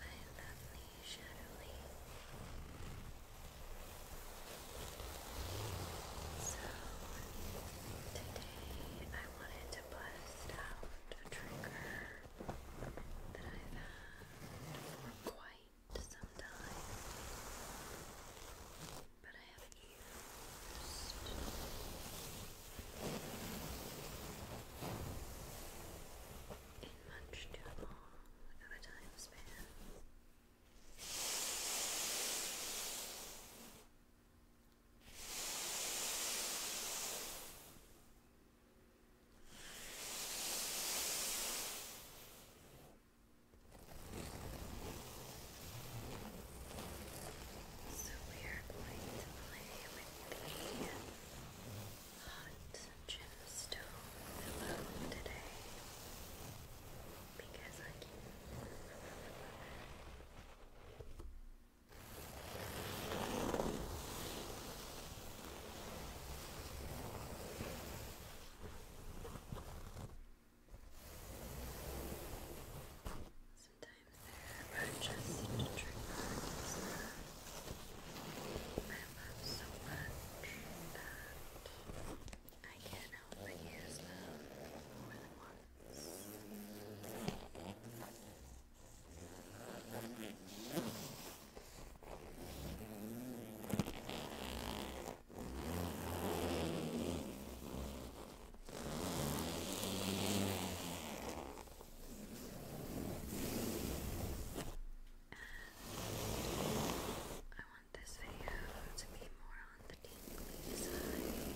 My lovely shadowy So today I wanted to bust out a trigger that I've had for quite late sometimes, but I haven't used in much too long of a time span. So we are going to play with the hot gemstone pillow today because I can. Sometimes there are just triggers I love so much that I can't help but use them I want this video to be more on the tingly side. I think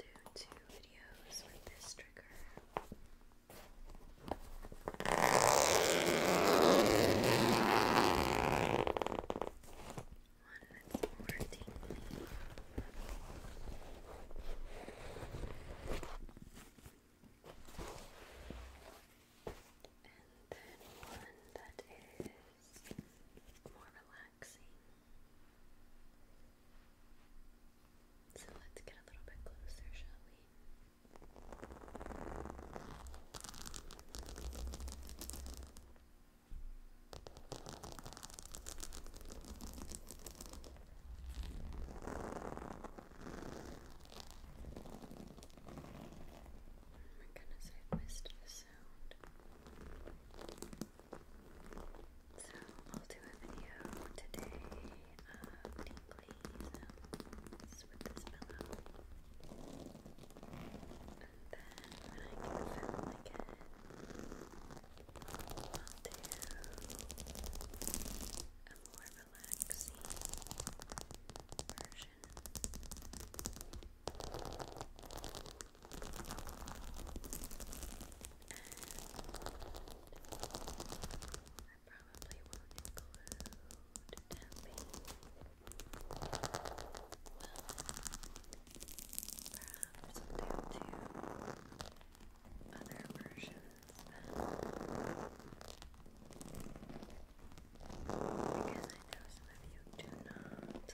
I'll do two videos with this trigger. One that's more tingly. And then one that is more relaxed relaxing. So let's get a little bit closer, shall we? Oh my goodness, I missed the sound. So I'll do a video today of um, tingly with this pillow. And then when I get film again, I'll do a more relaxing version. I probably won't include tapping. Well, perhaps there are two other versions that because I know some of you do not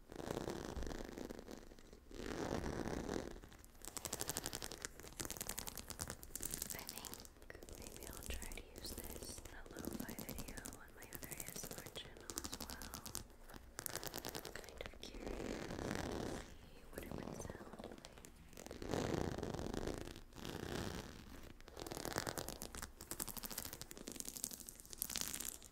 I think maybe will try to use this in a lo video on my other ASMR channel as well. kind of curious to see what it would sound like.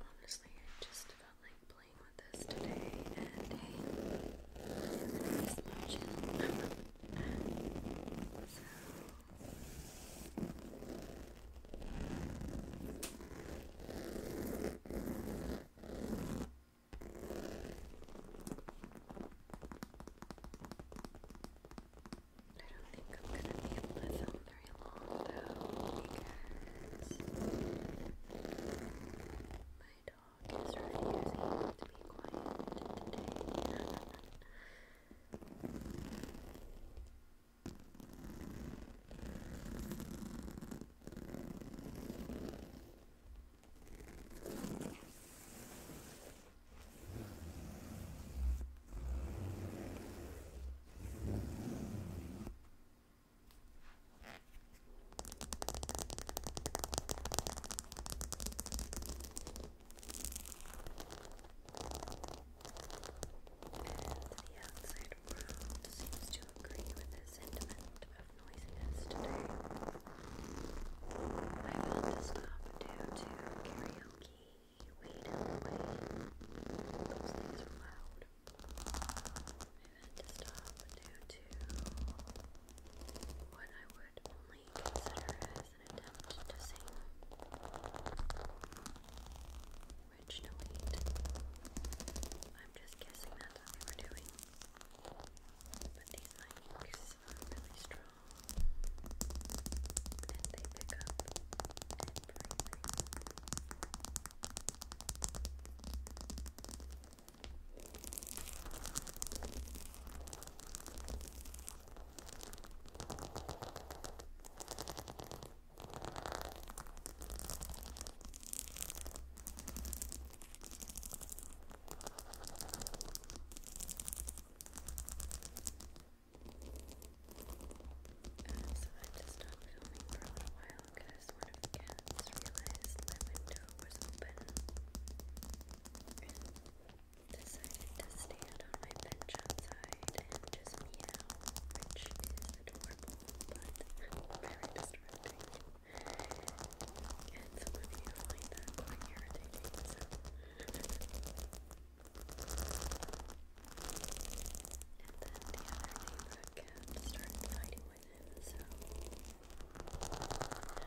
Honestly, I just felt like playing with this today, and hey, it's my channel. so, I don't think I'm gonna be able to film very long though because my dog is refusing to be quiet today. The outside world seems to agree with the sentiment of noisiness I had to stop due to karaoke. Weed Those things are loud. I had to stop due to what I would only consider as an attempt to sing. Which, no I'm just guessing that's what we're doing. But these mics are really strong and they pick up everything. Uh, so I just stopped filming for a little while because one of the cats realized my window was open and decided to stand on my bench outside and just meow, which is adorable but very distracting. And some of you find that quite irritating, and then the other neighbor kept started fighting with so. had to wait for that.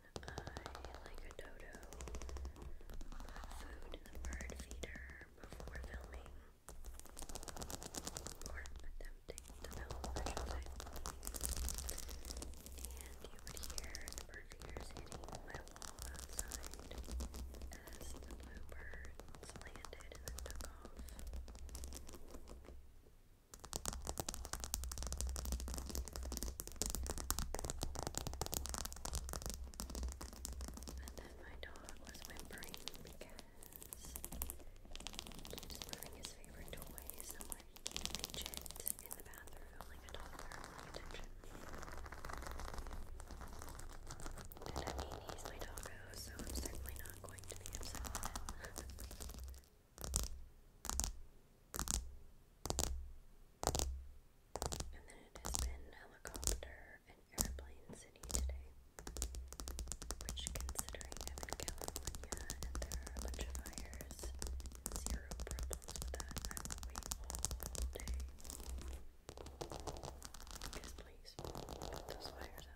I like a dodo food in the bird feeder before filming or attempting to film, I And you would hear the bird feeders hitting my wall outside as the bluebirds landed and took off. And then my dog was whimpering because he his favorite toy somewhere he can in the bathroom like a toddler wanting attention. And I mean, he's my doggo, so I'm certainly not going to be upset And then it has been helicopter and airplane city today, which considering I'm in California and there are a bunch of fires, zero problems with that. I will wait all day. please, put those fires out.